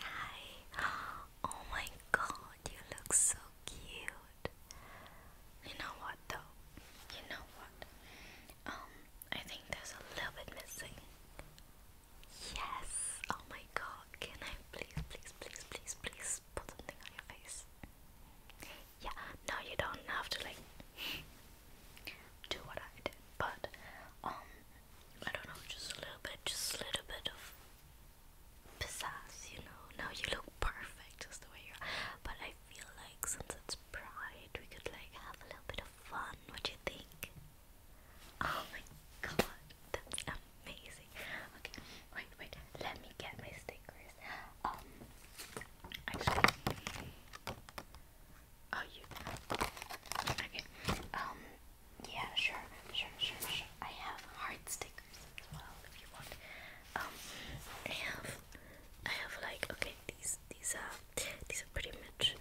Hi! Oh my god, you look so cute. You know what though? You know what? Um, I think there's a little bit missing. Yes! Oh my god, can I please, please, please, please, please put something on your face? Yeah, no, you don't have to like do what I did, but um, I don't know, just a little bit, just a little bit of pizzazz, you know. Now you look perfect just the way you are. But I feel like since it's pride, we could like have a little bit of fun. What do you think? Oh my god, that's amazing. Okay, wait, wait, let me get my stickers. Um, actually, oh, you. Okay, um, yeah, sure, sure, sure, sure. I have heart stickers as well if you want. Um, I have, I have like okay, these these are these are pretty much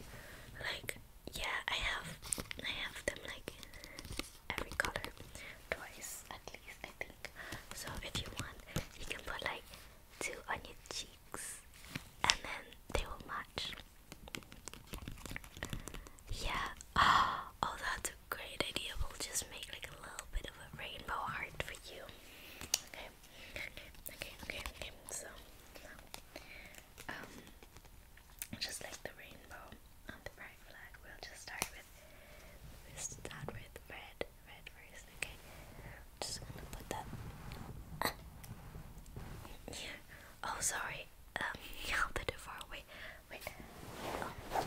like yeah. I have I have them like every color twice at least I think. So if you want, you can put like two on your cheeks, and then they will match. Yeah. Oh, that's a great idea. We'll just make like a little bit of a rainbow heart for you. Okay. Okay. Okay. Okay. So, um, just like the rainbow the bright flag, we'll just start with. we start with red. Red first. Okay. just gonna put that. yeah. Oh, sorry. Um, yeah, a bit far away. Wait. Oh.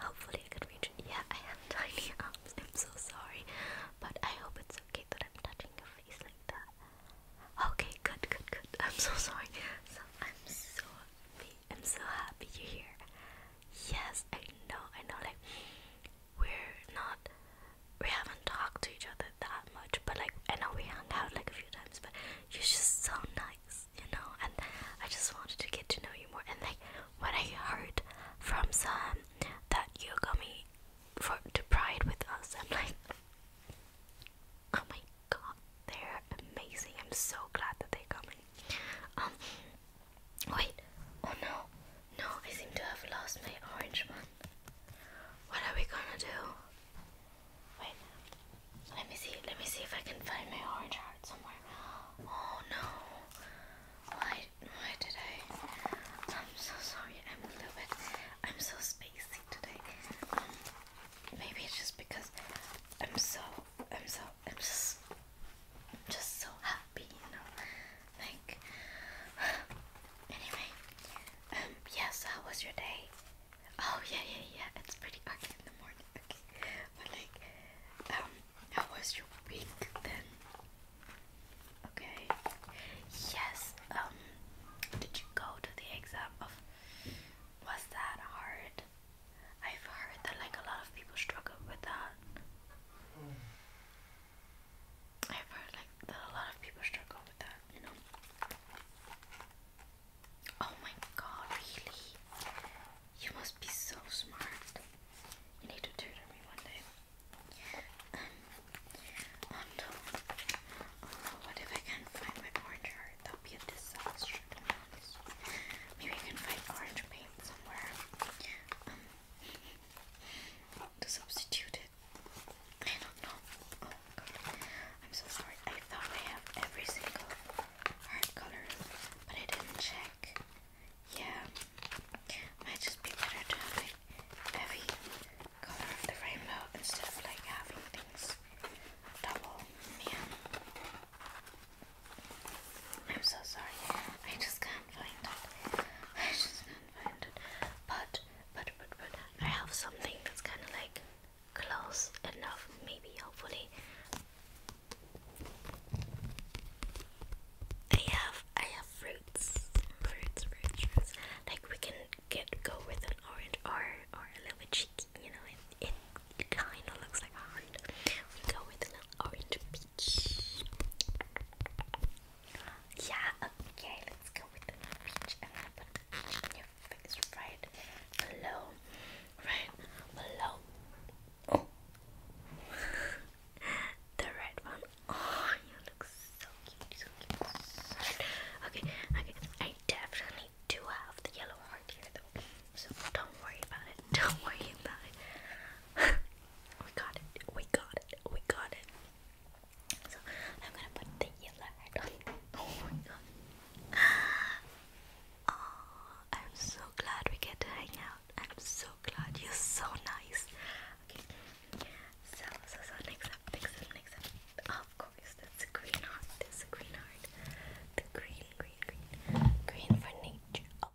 Hopefully, I can reach. Yeah, I have tiny arms. I'm so sorry, but I hope it's okay that I'm touching your face like that. Okay, good, good, good. I'm so sorry. So I'm so I'm so happy you're here. Yes, I know. I know. Like we're not we haven't talked to each other that much but like I know we hung out like a few times but you're just so nice you know and I just wanted to get to know you more and like when I heard from Sam that you got me for to pride with us I'm like oh my god they're amazing I'm so glad that they're coming um wait oh no no, I seem to have lost my orange one. What are we gonna do? Wait, let me see. Let me see if I can find my orange heart somewhere. Oh no! Why? Why did I? I'm so sorry. I'm a little bit. I'm so spacey today. maybe it's just because I'm so. I'm so. I'm just. I'm just so happy, you know like anyway um yes how was your day oh yeah yeah yeah it's pretty early in the morning okay but like um how was your week then okay yes um did you go to the exam of was that hard I've heard that like a lot of people struggle with that. Hmm. I've heard like that a lot of people struggle with that, you know. Oh my god, really? You must be so smart. You need to tutor me one day. Um, oh no. Oh no, what if I can't find my orange heart? That would be a disaster to be honest. Maybe I can find orange paint somewhere. Um, to substitute I don't know. Oh god. I'm so sorry. I thought I have every single heart color, but I didn't check. Yeah. Might just be better to have every color of the rainbow instead of like having things double. Yeah. I'm so sorry. I just can't find it. I just can't find it. But but but but I have something that's kind of like close enough, maybe hopefully. I have I have fruits, fruits, fruits, fruits. Like we can get go with an orange or or a little bit cheeky, you know. It it, kind of looks like a heart. We go with a little orange peach. Yeah, okay, let's go with the peach. I'm the peach in your face right below. Right below. Oh. the red one. Oh, you look so cute. So cute. Okay, okay. I definitely do have the yellow heart here though. So don't worry about it. Don't worry about it. we got it. We got it. We got it. So I'm gonna put the yellow hat on. Oh my god. Oh, I'm so glad we get to hang out. I'm so glad. You're so nice. Okay. So, so, so next up, next up, next up. Of course, that's a green heart. That's a green heart. The green, green, green. Green for nature. Oh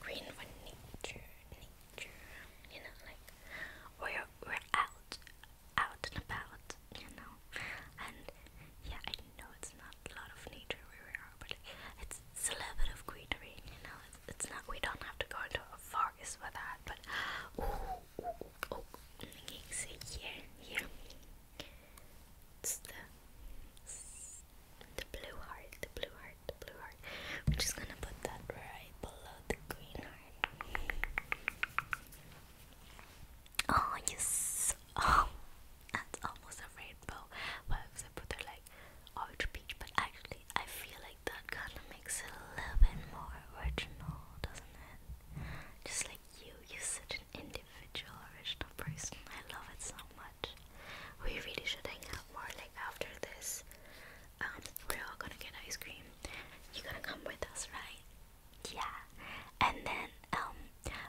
green for nature, nature, you know, like we're we're out, out and about, you know. And yeah, I know it's not a lot of nature where we are, but it's, it's a little of greenery, you know. It's, it's not we don't have to go into a forest for that, but oh, oh, oh, can see here, here. It's the the blue heart, the blue heart, the blue heart. We're just gonna put that right below the green heart. Oh yes, oh, that's almost a rainbow. Why well, I put it like orange peach? But actually, I feel like that kind of makes it a little bit more original, doesn't it? Just like you, you're such an individual, original person. I love it so much. We really should hang out more like after this. Um, we're all gonna get ice cream. You're gonna come with us, right? Yeah. And then um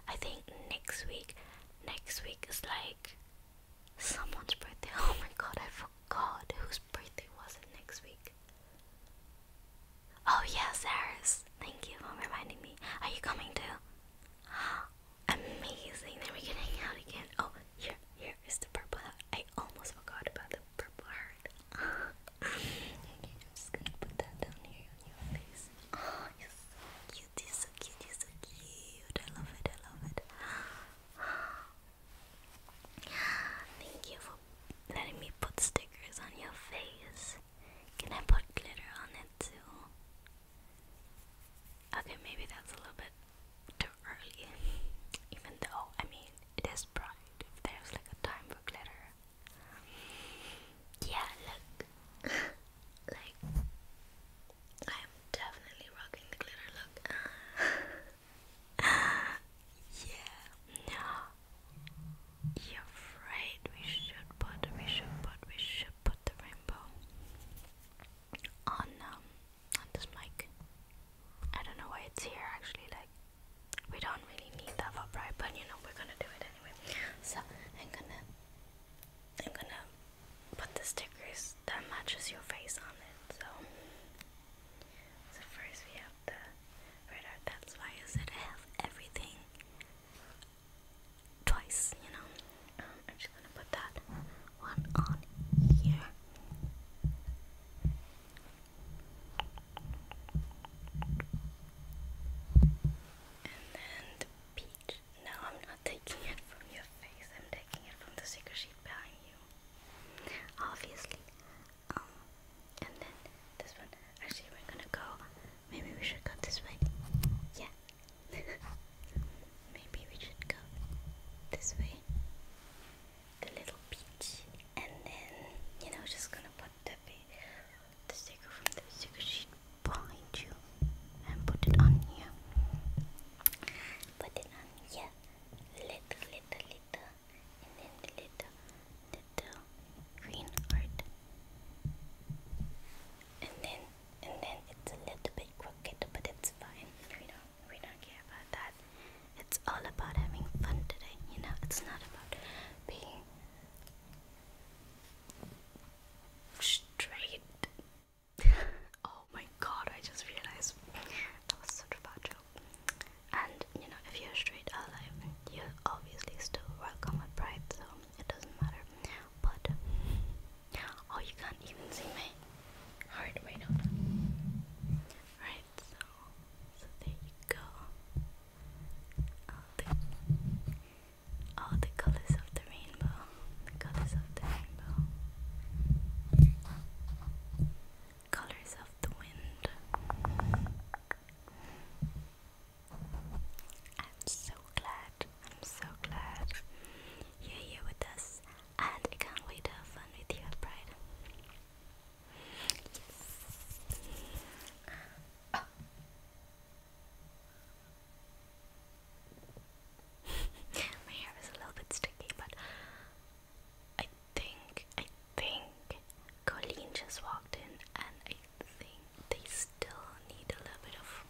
I think next week next week is like someone's birthday. Oh my god, I forgot whose birthday was it next week. Oh yeah, Sarah's. Thank you for reminding me. Are you coming too? Oh, Amazing. Then we can hang out again. Oh, here, here is the purple I almost forgot about the purple heart. Oh, you're so cute. so cute. so cute. I love it. I love it. Thank you for letting me put stickers on your face. Can I put glitter on it too? Okay, maybe that's a little bit too early. Even though, I mean, it is bright. there's like a time for glitter, yeah, look, like I'm definitely rocking the glitter look. yeah, no, you're right. We should put, we should put, we should put the rainbow on um this mic. I don't know why it's here actually, like we don't really need that for bright, but you know we're gonna do it anyway. So I'm gonna I'm gonna put the stickers that matches your face on it. So so first we have the radar, that's why I said I have everything twice, you know. Um, I'm just gonna put that one on here. And then peach. No, I'm not taking it from your face. I'm taking it from the secret behind you. Obviously. Um, and then this one. Actually, we're gonna go. Maybe we should go this way. Yeah, Maybe we should go this way. The little beach. And then, you know, just gonna put the, the sticker from the sticker sheet behind you and put it on here. Put it on here. Little, little, little. And then the little, little green heart. And then and then it's a little bit crooked, but it's fine. We do we don't care about that. It's all about having fun today, you know. It's not about being straight. oh my god! I just realized that was such a bad joke. And you know, if you're straight alive, you're obviously still welcome at Pride. So it doesn't matter. But oh, you can't even see my heart rate on. Right, so so there you go. All the all the colors of the rainbow, colors of the rainbow, colors of the wind. I'm so glad I'm so glad you're here with us, and I can't wait to have fun with you, Bride. My hair is a little bit sticky, but I think, I think Colleen just walked in, and I think they still need a little bit of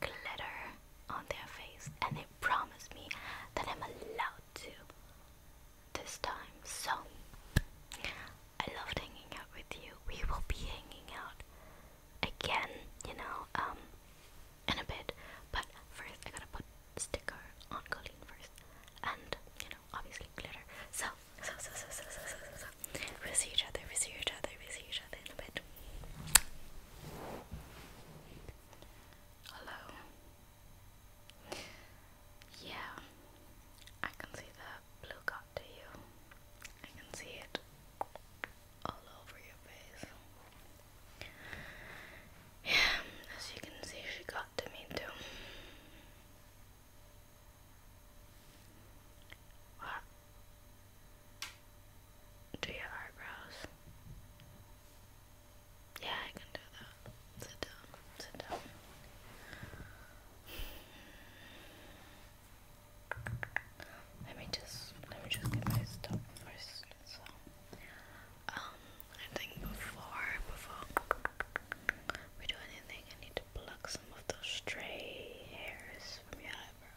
glitter on their face, and they promised me that I'm allowed to this time. So I loved hanging out with you. We will be hanging out again, you know, um, in a bit. But first, I gotta put sticker on Colleen first, and you know, obviously glitter. So, so, so, so, so, so, so, so, so. we'll see each other. We'll see each other. We'll see each other in a bit. Hello. Yeah, I can see the blue got to you. I can see it all over your face. Yeah, as you can see, she got to me too. Do your eyebrows. Yeah, I can do that. Sit down, sit down. Let me just let me just get my stuff first. um I think before before we do anything I need to pluck some of those stray hairs from your eyebrows.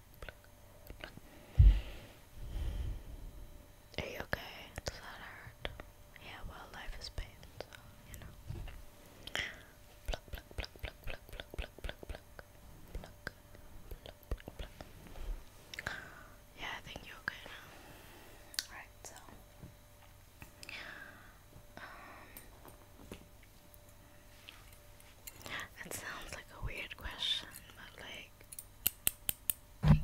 Are you okay? Does that hurt? Yeah, well, life is pain, Yeah, I think you're okay Alright, so. Um. sounds like a weird question, but like, can I?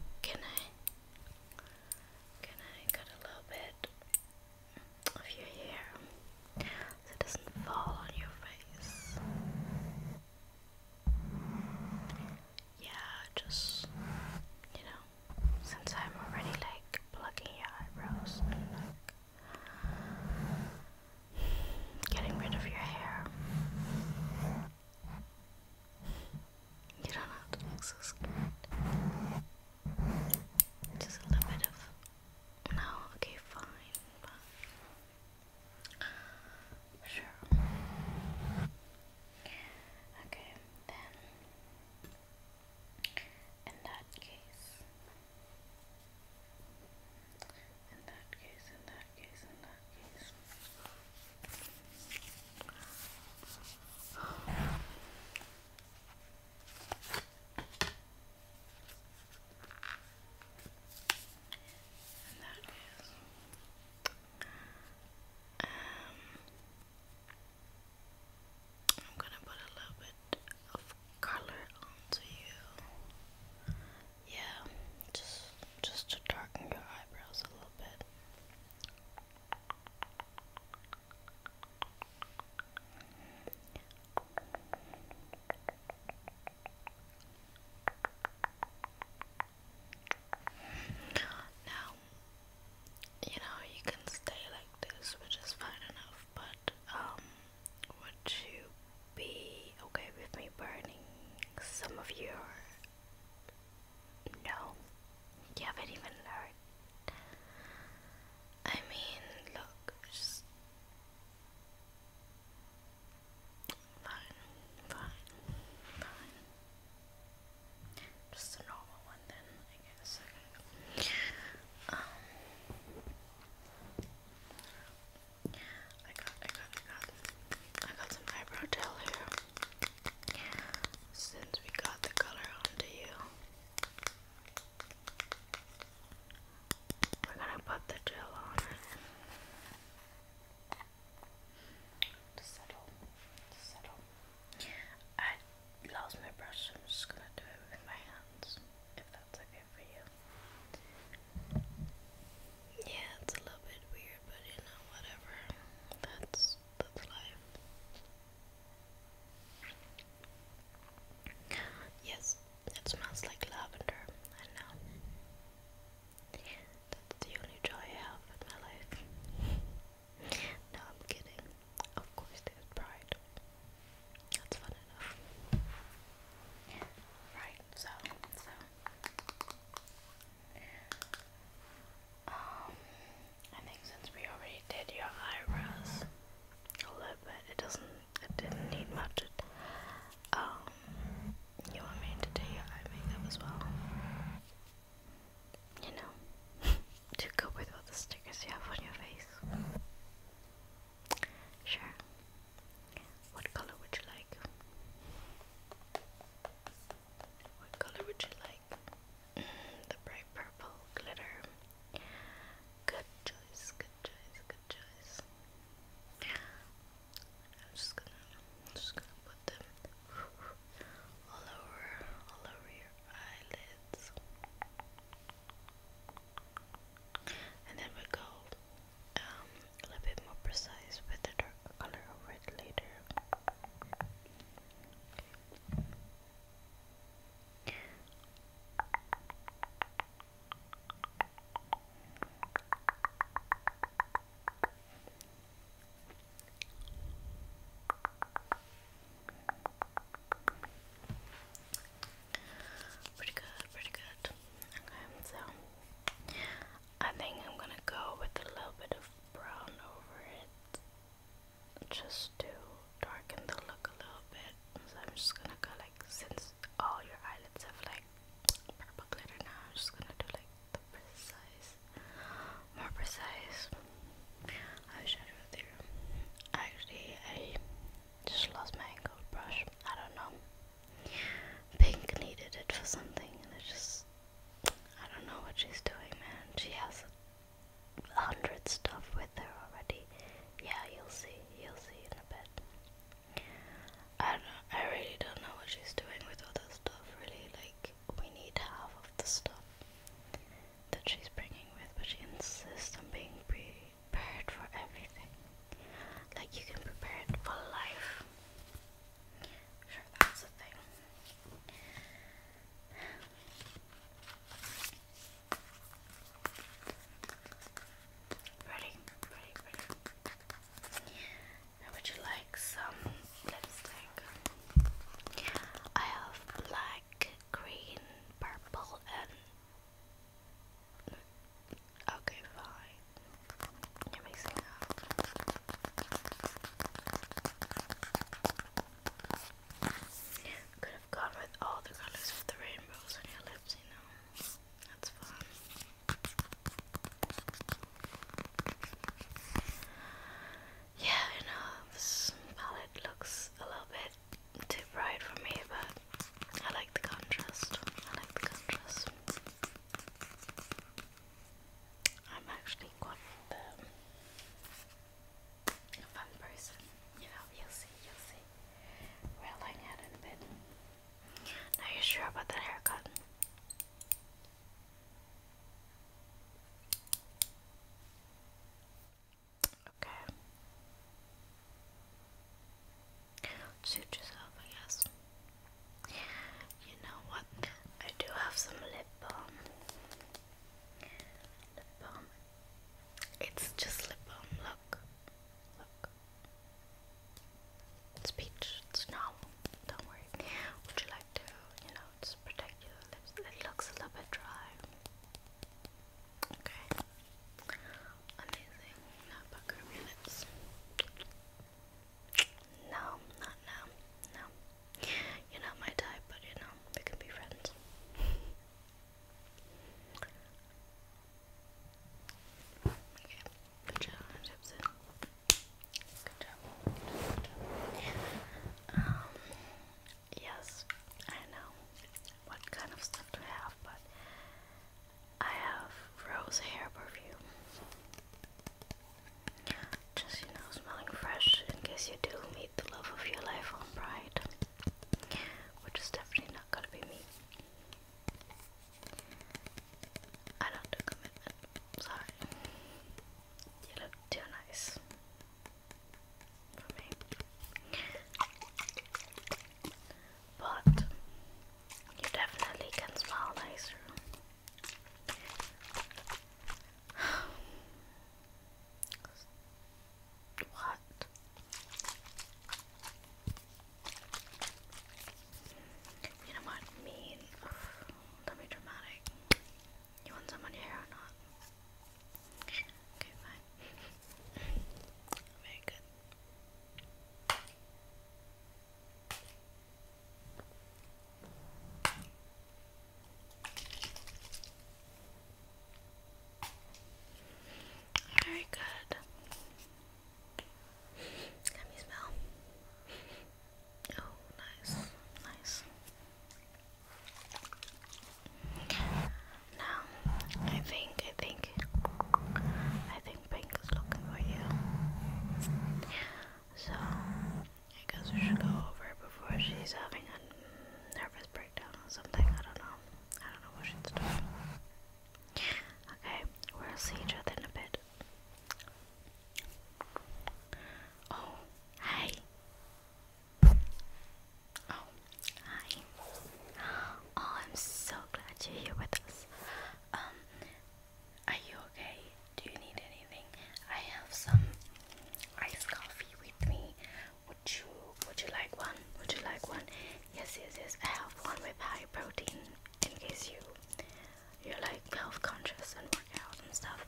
Can I cut a little bit of your hair so it doesn't fall on your face? Yeah, just you know, since I'm already like plucking your eyebrows getting rid of your hair. You don't have to look so scared. Just a little bit of. No, okay, fine. Sure. Okay, then. In that case, in that case, in that case, in that case. In that Um I'm gonna put a little bit of color onto you. Yeah, just just to darken your eyebrows a little bit. Now, you know, you can stay like this, which is fine enough, but um, would you be okay with me burning some of your. No, you haven't even heard. I mean, look, just. Fine, fine, fine. Just a normal one then, Um, I got, I got, I got, some eyebrow gel here. Since we got the color onto you, we're gonna put the gel on it to settle, to settle. I lost my brush, so I'm just gonna do it with my hands, if that's okay for you. Yeah, it's a little bit weird, but you know, whatever. That's that's life. Yes, it smells like lavender. I know. That's the only joy I have in my life. no, I'm kidding. Of course, there's pride. That's fun enough. Right, so, um, I think since we already did your eyebrows a little bit, it doesn't, it didn't need much. Um, you want me to do your eye makeup as well? You know, to go with all the stickers you have on your face. Sure. What color would you like? What color would you like? the bright purple glitter. Good choice, good choice, good choice. I'm just gonna, I'm just gonna put them all over, all over your eyelids, and then we go um, a little bit more precise with the dark color over it later. Pretty good, pretty good. Okay, so I think I'm gonna go with a little bit of brown over it just to darken the look a little bit. So I'm just gonna go like since all your eyelids have like purple glitter now, I'm just gonna do like the precise, more precise eyeshadow there. Actually, I just lost my angled brush. I don't know. Pink needed it for something, and just. I don't know what she's doing, man. She has a hundred stuff with her already. Yeah, you'll see. You'll see in a bit. I don't. I really don't know what she's doing with all that stuff. Really, like we need half of the stuff that she's bringing with, but she insists on being prepared for everything. Like you can prepare it for life. Sure, that's the thing. Ready, ready, ready. would you like some lipstick? I have black, green, purple, and Okay, fine. You're mixing up. Could have gone with all the colors of the rainbows on your lips, you know. That's fun. Yeah, I know this palette looks a little bit too bright for me, but I like the contrast. I like the contrast. I'm actually quite a fun person. You know, you'll see, you'll see. We'll hang out in a bit. Now you're sure about that haircut? Okay. Suit yourself, I guess. You know what? I do have some lip balm. Lip balm. It's just lip balm. Look. Look. It's peach. It's normal. Don't worry. Would you like to, you know, just protect your lips? It looks a little bit dry. Okay amazing notebook minutes. No, not now. No. You're not my type, but you know, we can be friends. okay, good job, Gibson. Good job. Um, yes, I know what kind of stuff to have, but I have rose hair perfume. Just, you know, smelling fresh in case you do meet the love of your life on Pride. Which is definitely not gonna be me. I don't Sorry. You look too nice for me but you definitely can smile nicer. what? You know what? Mean. Don't be dramatic. You want some on your hair or not? Okay, fine. Very good. Very good. Can you smell? Oh, nice, nice. Now, I think, I think, I think pink is looking for you. So I guess we should go over before she's having a nervous breakdown or something. I don't know. I don't know what she's doing. Okay, we'll see each other in a bit. Oh, hi. Oh, hi. Oh, I'm so glad you're here with us. Um, are you okay? Do you need anything? I have some iced coffee with me. Would you would you like one? Would you like one? Yes, yes, yes. I have one with high protein in case you you're like health conscious and workout and stuff.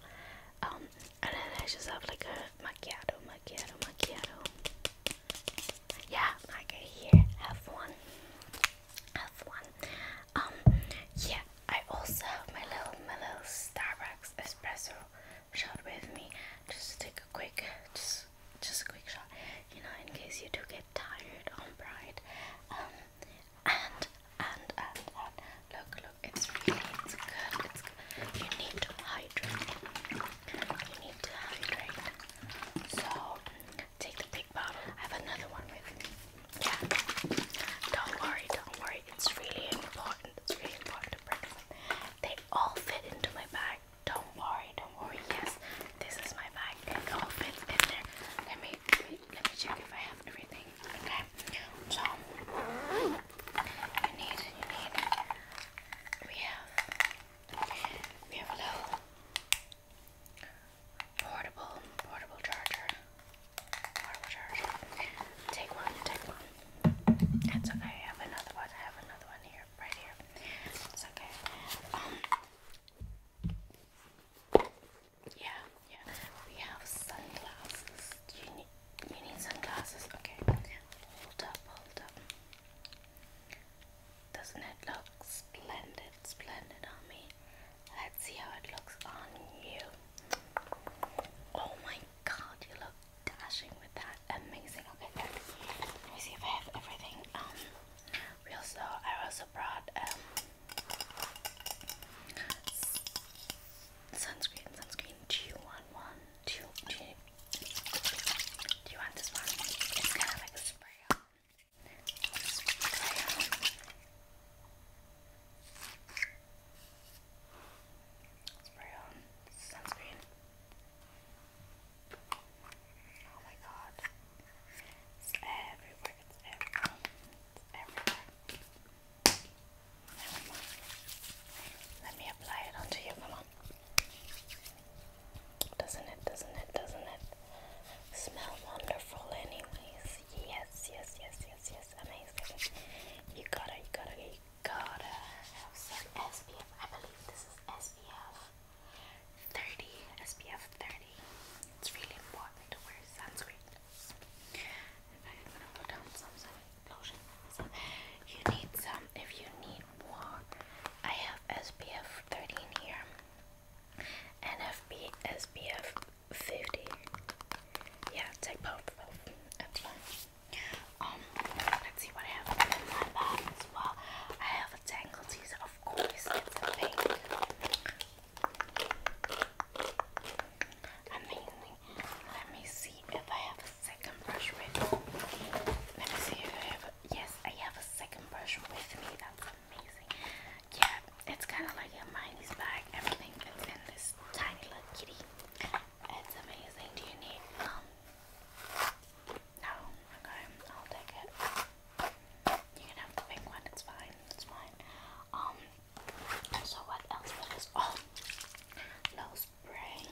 Um, and then I just have like a macchiato, macchiato, macchiato. Yeah, I can here have one have one. Um, yeah, I also have my little my little Starbucks espresso shot with me. Just to take a quick, just just a quick shot, you know, in case you do get tired on Pride. Um, and and and and look, look, it's really it's good. It's good. You need to hydrate. You need to hydrate. So Take the big bottle. I have another one with me. Yeah. Don't worry, don't worry. It's really important. It's really important to bring them. They all fit into my bag. Don't worry, don't worry. Yes, this is my bag. It all fits in there. Let me let me, check if I have everything. Okay. So you need you need we have we have a little Portable, portable charger. Portable charger. Take one, take one. That's okay. I have another one. I have another one here, right here. It's okay. Um, yeah, yeah. We have sunglasses. Do you need, you need sunglasses? Okay. Hold up, hold up. Doesn't it look splendid, splendid on me? Let's see how it looks on you. Oh my god, you look dashing with that. Amazing. Okay, Let me see if I have everything. Um, also, I also brought um sunscreen, sunscreen. Do you want one? Do do you, want this one? It's kind of like a spray spray on sunscreen. Oh my god. It's everywhere. It's everywhere. everywhere. Let me apply it onto you. Come on. Doesn't it, doesn't it, doesn't it smell wonderful anyways? Yes, yes, yes, yes, yes, amazing. You gotta, you gotta, you gotta have some SPF. I believe this is SPF 30, SPF 30. It's really important to wear sunscreen. I'm gonna put down some, some lotion. you need some if you need more. I have SPF 13 here. NFB 50. Yeah, take both, both. That's fine. Um, let's see what I have in my well. I have a Tangle teaser, of course, Amazing. Let me see if I have a second brush with. Let me see if I have yes, I have a second brush with me. That's amazing. Yeah, it's kind of like Hermione's bag. Everything that's in this tiny little kitty. It's amazing. Do you need um? No. Okay, I'll take it. You can have the pink one. It's fine. It's fine. Um. So what else? What else? Oh, little spray.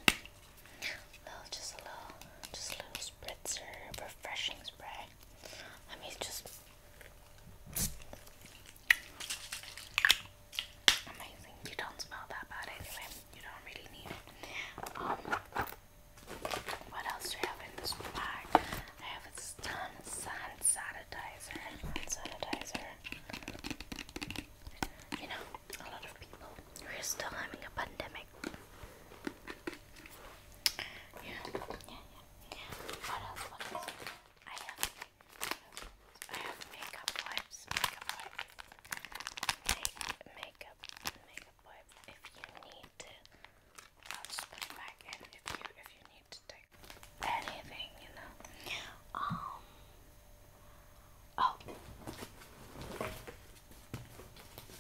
Little, just a little, just a little spritzer, refreshing spray. Let me just. Amazing. You don't smell that bad anyway. You don't really need it. Um, what else do I have in this bag? I have a ton of hand sanitizer. Hand sanitizer. You know, a lot of people who are still having a pandemic make. Yeah, yeah, yeah. What else? What else? I have, I have makeup wipes. Makeup wipes. Make, makeup, makeup wipe. If you need to, put it back in. If you, if you need to take anything, you know. Um. Oh.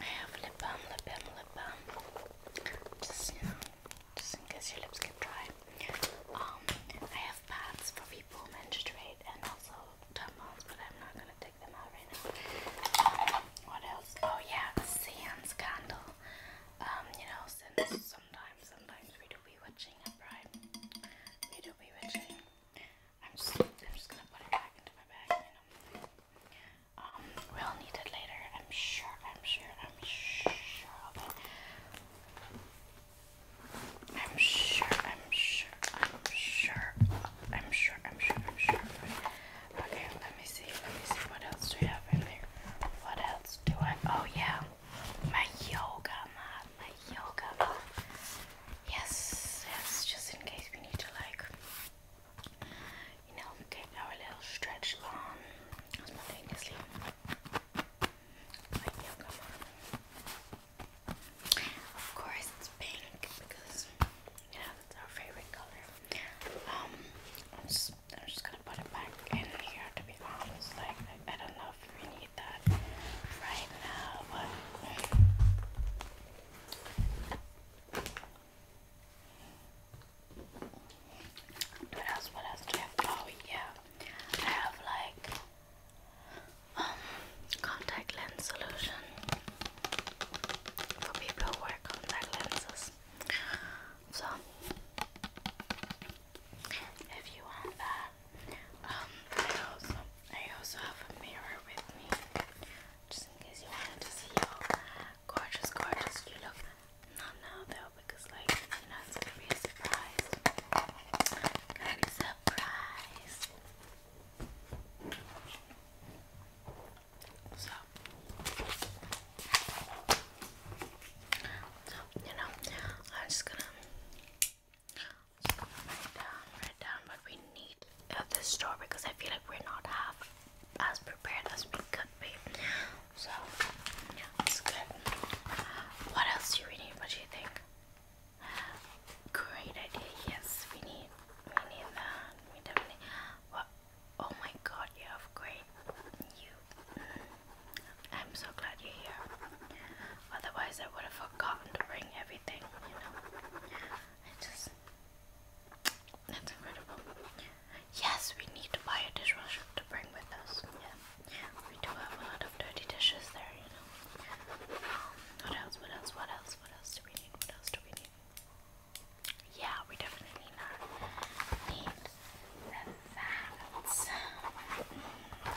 I have lip balm, lip balm, lip balm. Just you know, just in case your lips get dry. Um, I have pads for people menstruate and also tampons, but I'm not gonna take them out right now. what else? Oh yeah, a seance candle. Um, you know, since sometimes, sometimes we do be witching, right? We do be witching. I'm just, I'm just gonna put it back into my bag, you know. Um, we'll need it later. I'm sure, I'm sure, I'm sure of it. I'm sure, I'm sure, I'm sure, I'm sure, I'm sure, I'm sure. Okay, let me see, let me see what else do we have in there. What else do I? Oh yeah, my yoga mat, my yoga mat. Yes, yes, just in case we need to like you know get our little stretch on Of course it's pink because you know that's our favorite color. Um I'm just gonna put it back in here to be honest. Like I, don't know we need that right now. What else? What else do Oh yeah, I have like um, contact lens solution for people who wear contact lenses. So if you want that, um, I also I also have a mirror with me, just in case you wanted to see how gorgeous, gorgeous you look. Not now though, because like you know it's gonna be a surprise. surprise. So, so you know, I'm just gonna write down, write down what we need at this store because I feel like we're not half as prepared as we could be. So it's good. What else do we need? What do you think? Great idea. Yes, we need we need that. We definitely. What? Oh my God! You have great. You. Mm, I'm so glad you're here. Otherwise, I would have forgotten to bring everything, you know. It just. That's incredible. Yes, we need to buy a dishwasher to bring with us. Yeah. We do have a lot of dirty dishes there, you know. What else? What else? What else? What else do we need? What else do we need? Yeah, we definitely not need that.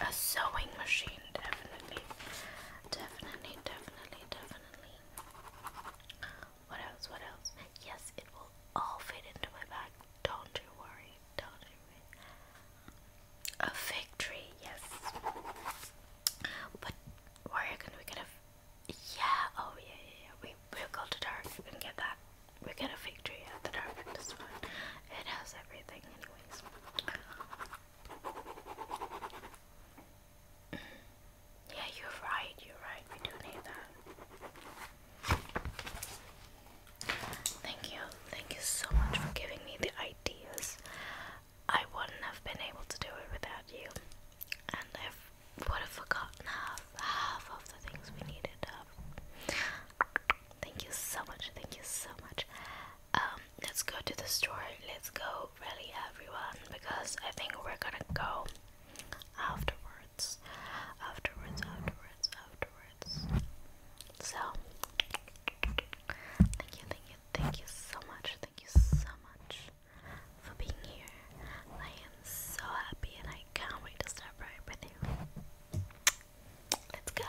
A sewing machine, definitely. Definitely, definitely, definitely. What else? What else? Yes, it will all fit into my bag. Don't you worry. Don't you worry. A fig tree, yes. But where are we get a yeah, oh yeah, yeah, yeah. We we'll go to dark. We can get that. We get a fig tree at the dark this one. It has everything anyways. Yeah, you're right, you're right, we do need that. Thank you, thank you so much for giving me the ideas. I wouldn't have been able to do it without you, and I would have forgotten half, half of the things we needed. Thank you so much, thank you so much. Um, let's go to the store. Let's go, really, everyone, because I think we're gonna go afterwards. Afterwards, afterwards, afterwards. So, thank you, thank you, thank you so much. Thank you so much for being here. I am so happy and I can't wait to start with you. Let's go.